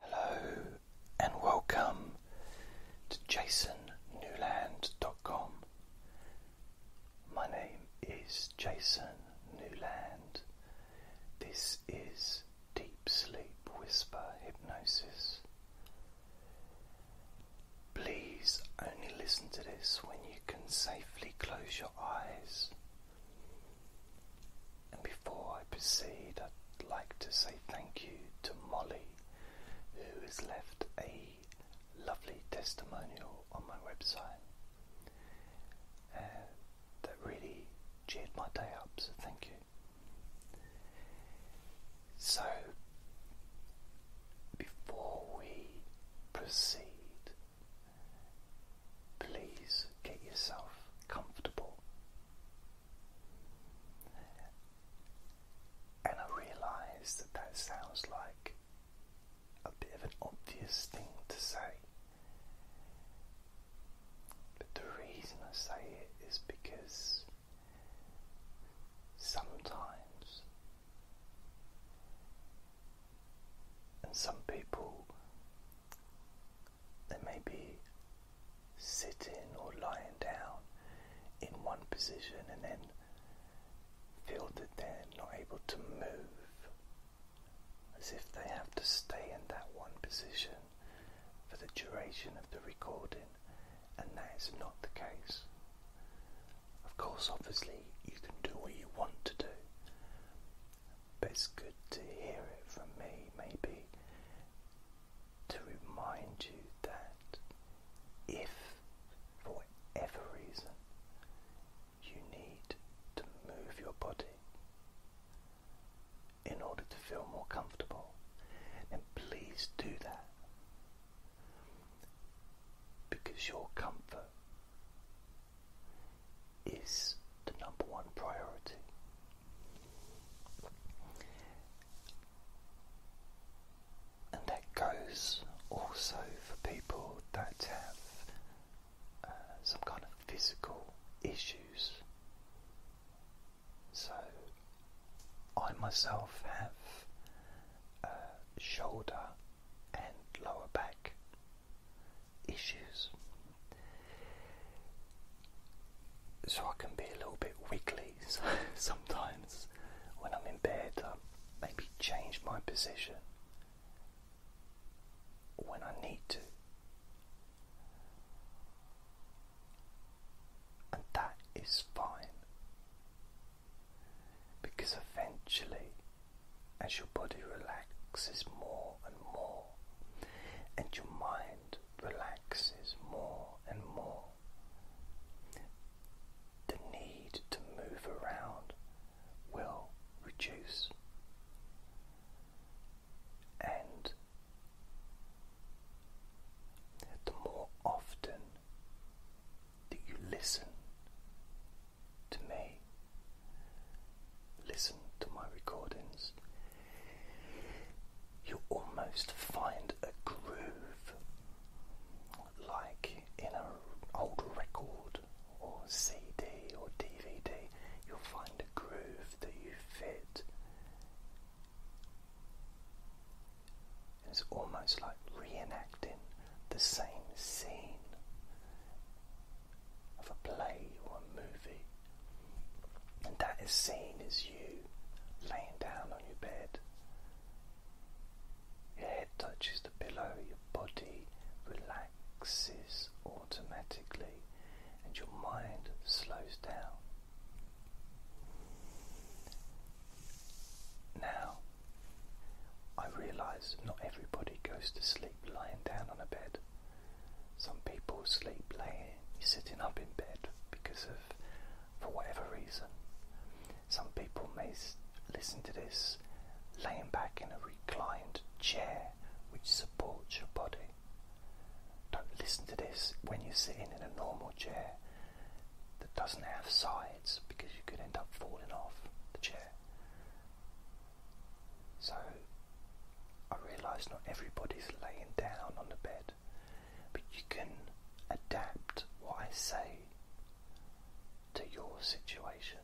Hello and welcome to jasonnewland.com. My name is Jason Newland. This is Deep Sleep Whisper Hypnosis. Please only listen to this when you can safely close your eyes. And before I proceed, I'd like to say thank you to Molly, who has left a lovely testimonial on my website. Uh, that really cheered my day up, so thank you. So, before we proceed, please get yourself comfortable and I realize that that sounds like a bit of an obvious thing to say. But the reason I say it is because sometimes, and some people they may be sitting or lying down in one position and then feel that they're not able to move as if they have to stay in that one position for the duration of the recording, and that is not the case. Of course, obviously, you can do what you want to do, but it's good to hear it from me, maybe to remind you that if for whatever reason you need to move your body in order to feel more comfortable, then please do that because your comfort is the number one priority. And that goes also for people that have uh, some kind of physical issues. So, I myself have uh, shoulder and lower back issues so I can be a little bit wiggly. sometimes when I'm in bed, I maybe change my position when I need to. And that is fine because eventually, as your body relaxes more and more, and your mind relaxes more and more. The need to move around will reduce, and the more often that you listen to me, listen to my recordings, you almost find a groove like in an old record or CD or DVD, you'll find a groove that you fit. It's almost like reenacting the same scene of a play or a movie. And that is seen as you laying down on your bed. Your head touches the pillow, your body relaxes automatically, and your mind slows down. Now, I realize not everybody goes to sleep lying down on a bed. Some people sleep laying, sitting up in bed because of, for whatever reason. Some people may listen to this laying back in a reclined chair which supports your body. Don't listen to this when you're sitting in a normal chair that doesn't have sides because you could end up falling off the chair. So I realise not everybody's laying down on the bed, but you can adapt what I say to your situation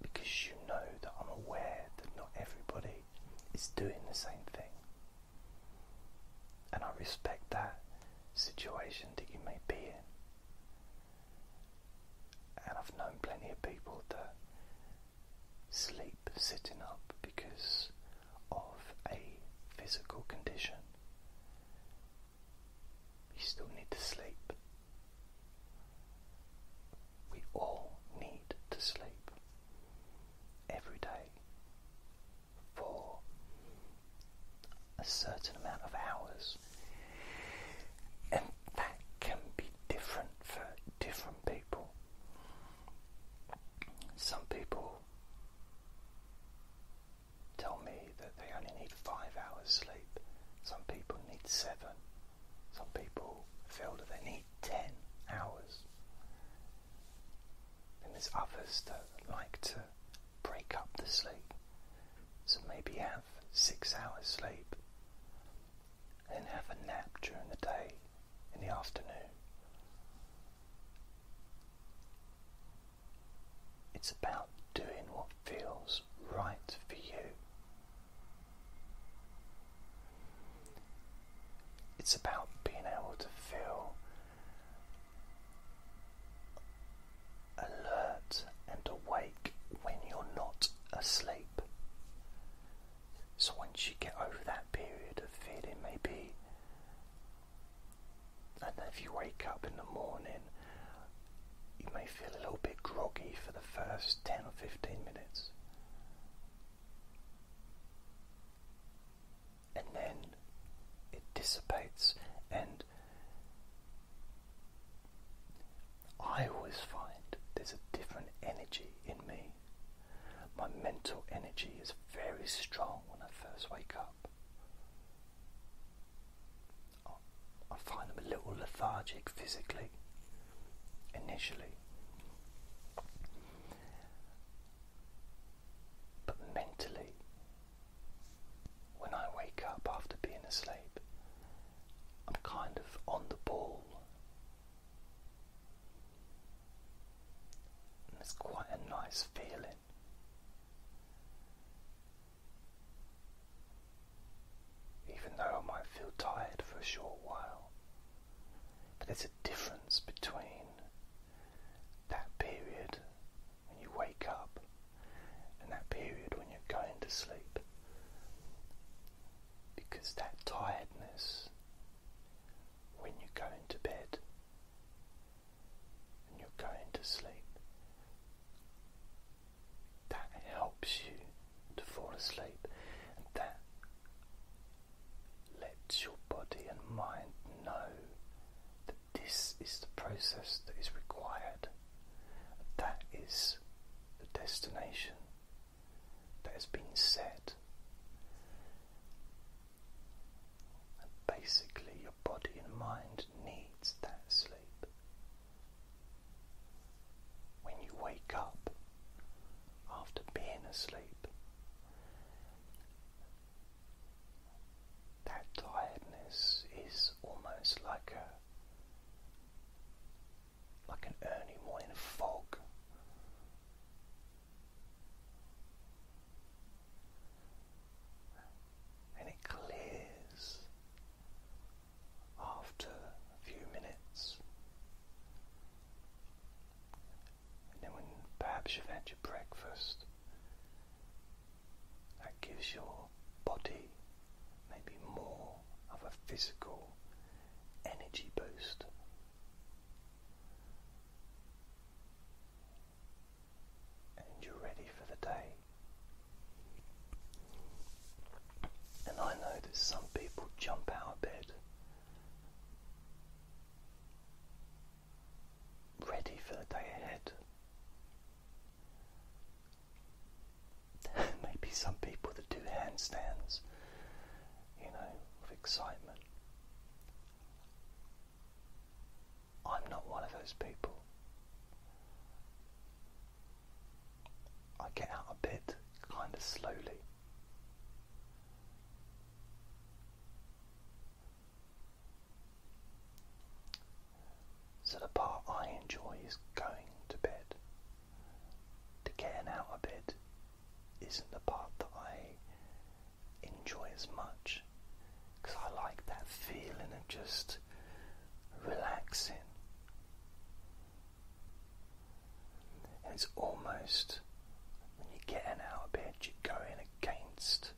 because you know that I'm aware that not everybody is doing the same thing, and I respect that situation that you may be in. And I've known plenty of people that sleep sitting up because of a physical condition. You still need to sleep. We all need to sleep every day for a certain amount of hours. And that can be different for different people. Some people tell me that they only need five hours sleep. Some people need seven. Some people feel that they need ten hours. And there's others that like to break up the sleep. So maybe have six hours sleep and have a nap during the day in the afternoon. It's about doing what feels right for you. It's about being able to feel alert and awake when you're not asleep. So once you get over that period of feeling maybe, and then if you wake up in the morning, you may feel a little bit groggy for the first 10 or 15 minutes. And then it dissipates, and I always find there's a different energy in me my mental energy is very strong when I first wake up. I find I'm a little lethargic physically, initially. But mentally, when I wake up after being asleep, I'm kind of on the ball and it's quite a nice feeling. Even though I might feel tired for a short while, but there's a difference between that period when you wake up and that period when you're going to sleep because that tiredness when you are going to bed and you're going to sleep that helps you to fall asleep and that lets your body and mind know that this is the process that is required that is the destination that has been set. basically, your body and mind needs that sleep. When you wake up after being asleep, that tiredness is almost like a like an early morning fog. And it clears after a few minutes. And then, when perhaps you've had your breakfast, that gives your body maybe more of a physical energy boost. And you're ready for the day. And I know that some people jump out of bed ready for the day ahead. maybe some people that do handstands, you know, of excitement. I'm not one of those people. I get out of bed kind of slowly. So the part I enjoy is going to bed the getting out a bit isn't the part that I enjoy as much because I like that feeling of just relaxing. it's almost when you get in out a bit, you're going against,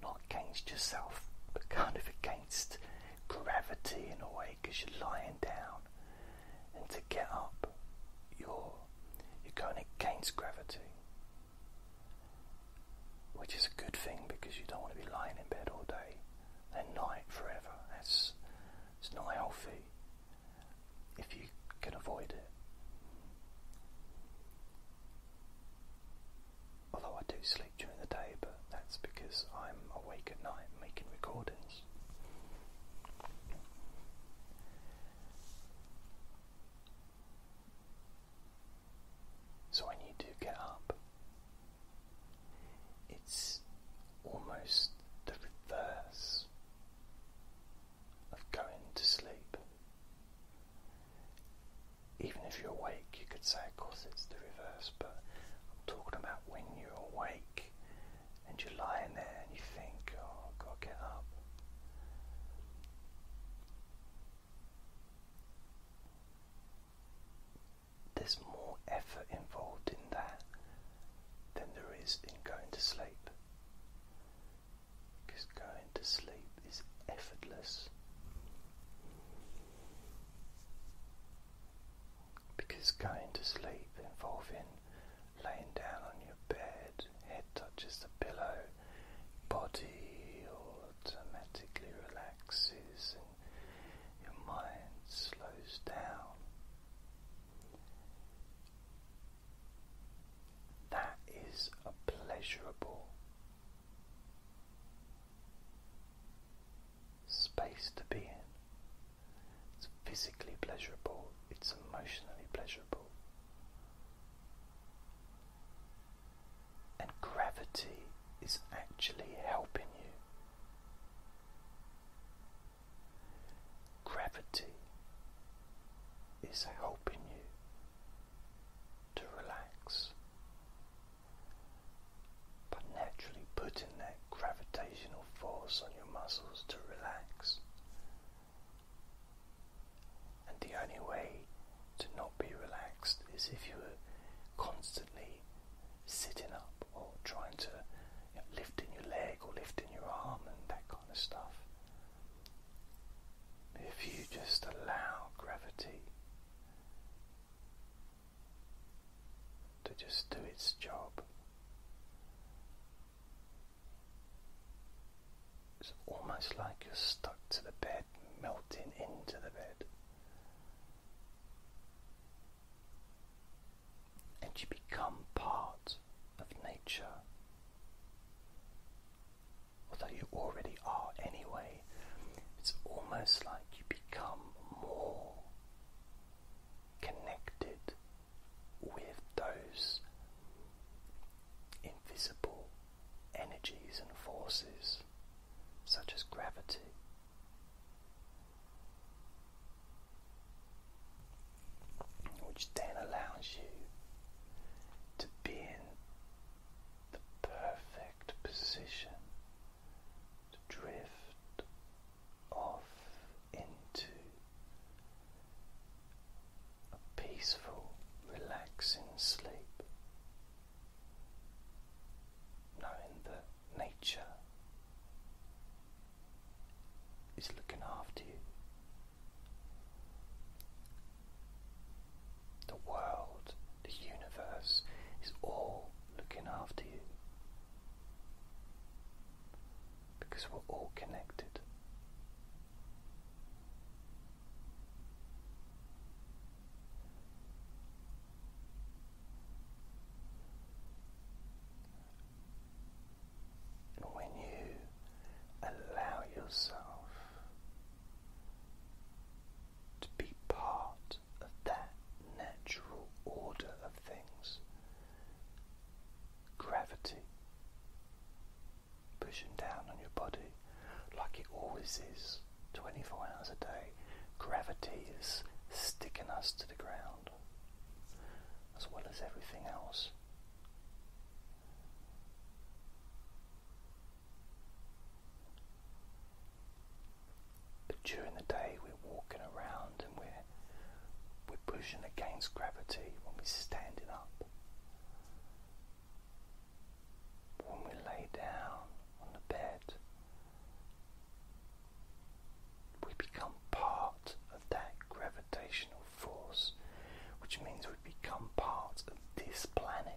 not against yourself, but kind of against gravity in a way because you're lying down and to get up, you're, you're going against gravity. Which is a good thing because you don't want to be lying in bed all day and night forever. That's it's not healthy if you can avoid it. Although I do sleep during the day, but that's because I'm awake at night making recordings. So when you do get up, it's almost the reverse of going to sleep. Even if you're awake, you could say, of course, it's the reverse, but I'm talking about when you're awake and you're lying there and you think, oh, i get up. There's more effort involved in that than there is in going to sleep. Because going to sleep is effortless because going to sleep involves in laying down on your bed, head touches the pillow, body automatically relaxes and your mind slows down. That is a pleasurable space to be in. It's physically pleasurable, it's emotionally pleasurable. And gravity is actually helping you. Gravity is helping you to relax by naturally putting that gravitational force on your muscles to relax. And the only way to not be relaxed is if you are constantly sitting up or trying to lifting your leg or lifting your arm and that kind of stuff. If you just allow gravity to just do its job. It's almost like you're stuck to the bed, melting into the bed. And you become part of nature. Although you already are anyway, it's almost like you become more connected with those invisible energies and forces, such as gravity. Which then allows you to be in the perfect position to drift off into a peaceful, relaxing sleep, knowing that nature is looking after you. The world, the universe is all looking after you because we're all connected. And when you allow yourself to be part of that natural order of things, gravity pushing down on your body like it always is 24 hours a day. Gravity is sticking us to the ground as well as everything else. But during the day, we're walking around and we're we're pushing against gravity when we're standing up. When we lay down on the bed, we become part of that gravitational force, which means we become part of this planet.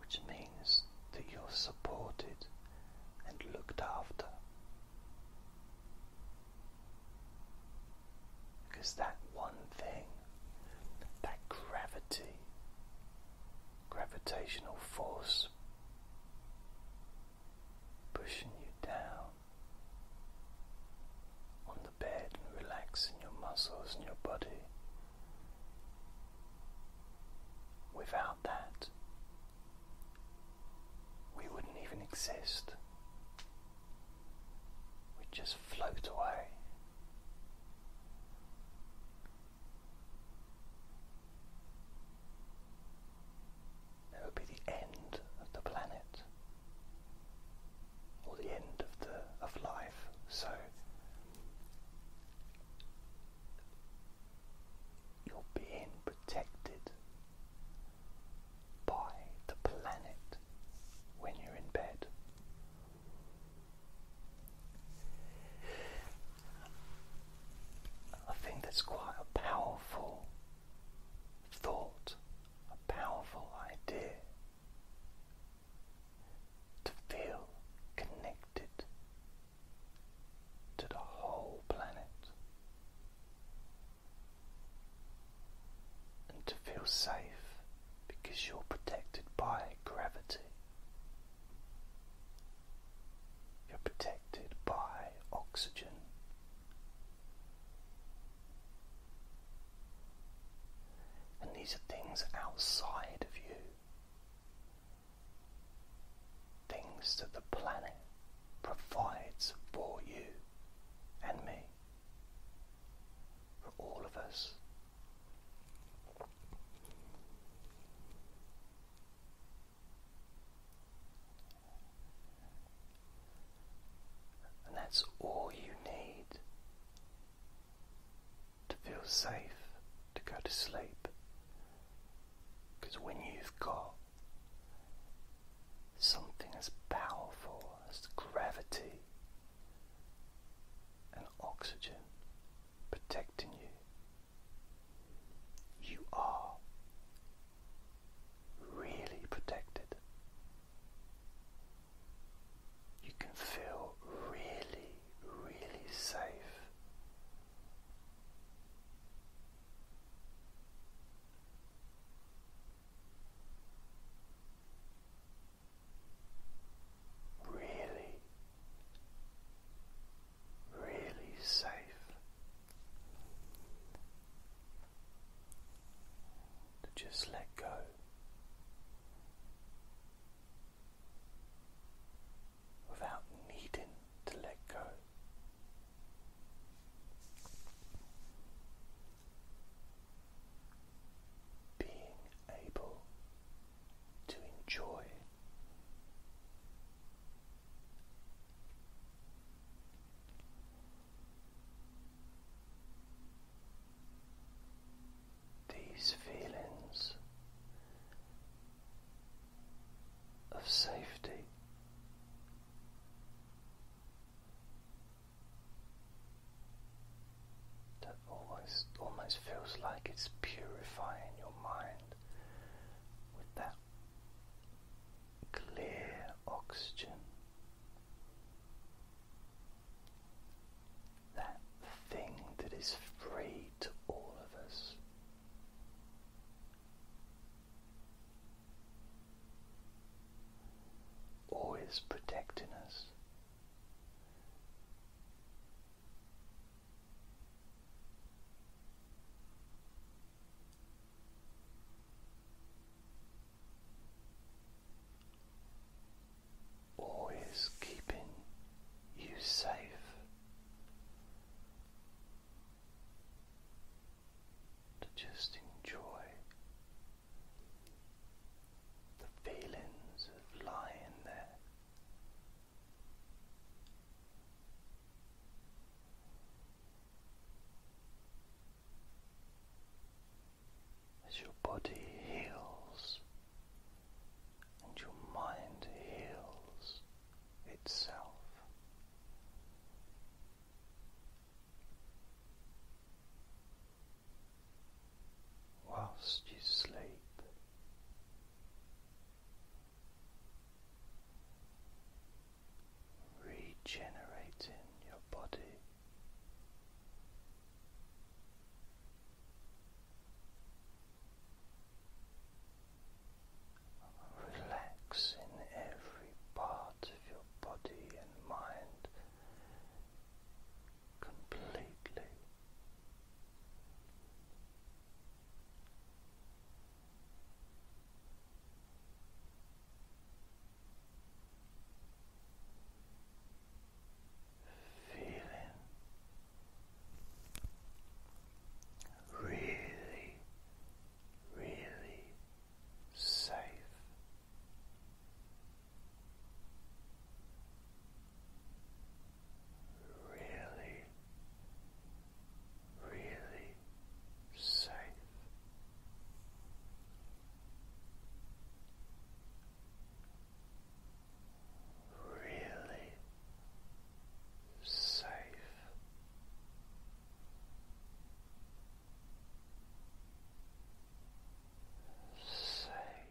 Which means that you're supported and looked after. Because that one thing, that gravity, gravitational force pushing you down on the bed and relaxing your muscles and your body. Without that, we wouldn't even exist. We'd just float away. That would be the end of the planet or the end of the of life. So you're being protected by the planet when you're in bed. I think that's quite a powerful thought, a powerful idea to feel connected to the whole planet and to feel safe because you're protected by gravity. You're protected by oxygen. And these are things outside of you, things that the planet provides for you and me, for all of us. And that's all you need to feel safe to go to sleep. Because when you've got something as powerful as gravity and oxygen protecting you, you are really protected. You can feel really, really safe. Really, really safe. To just let go. Without needing to let go, being able to enjoy these feelings of safety. That always almost feels like it's purifying your mind with that clear oxygen. That thing that is free to all of us. Always protecting us, Always keeping you safe. To just enjoy the feelings of lying there as your body heals and your mind heals itself. Whilst you sleep, regenerating your body. Relaxing every part of your body and mind completely. Feeling really, really safe really, really safe. Really safe, safe.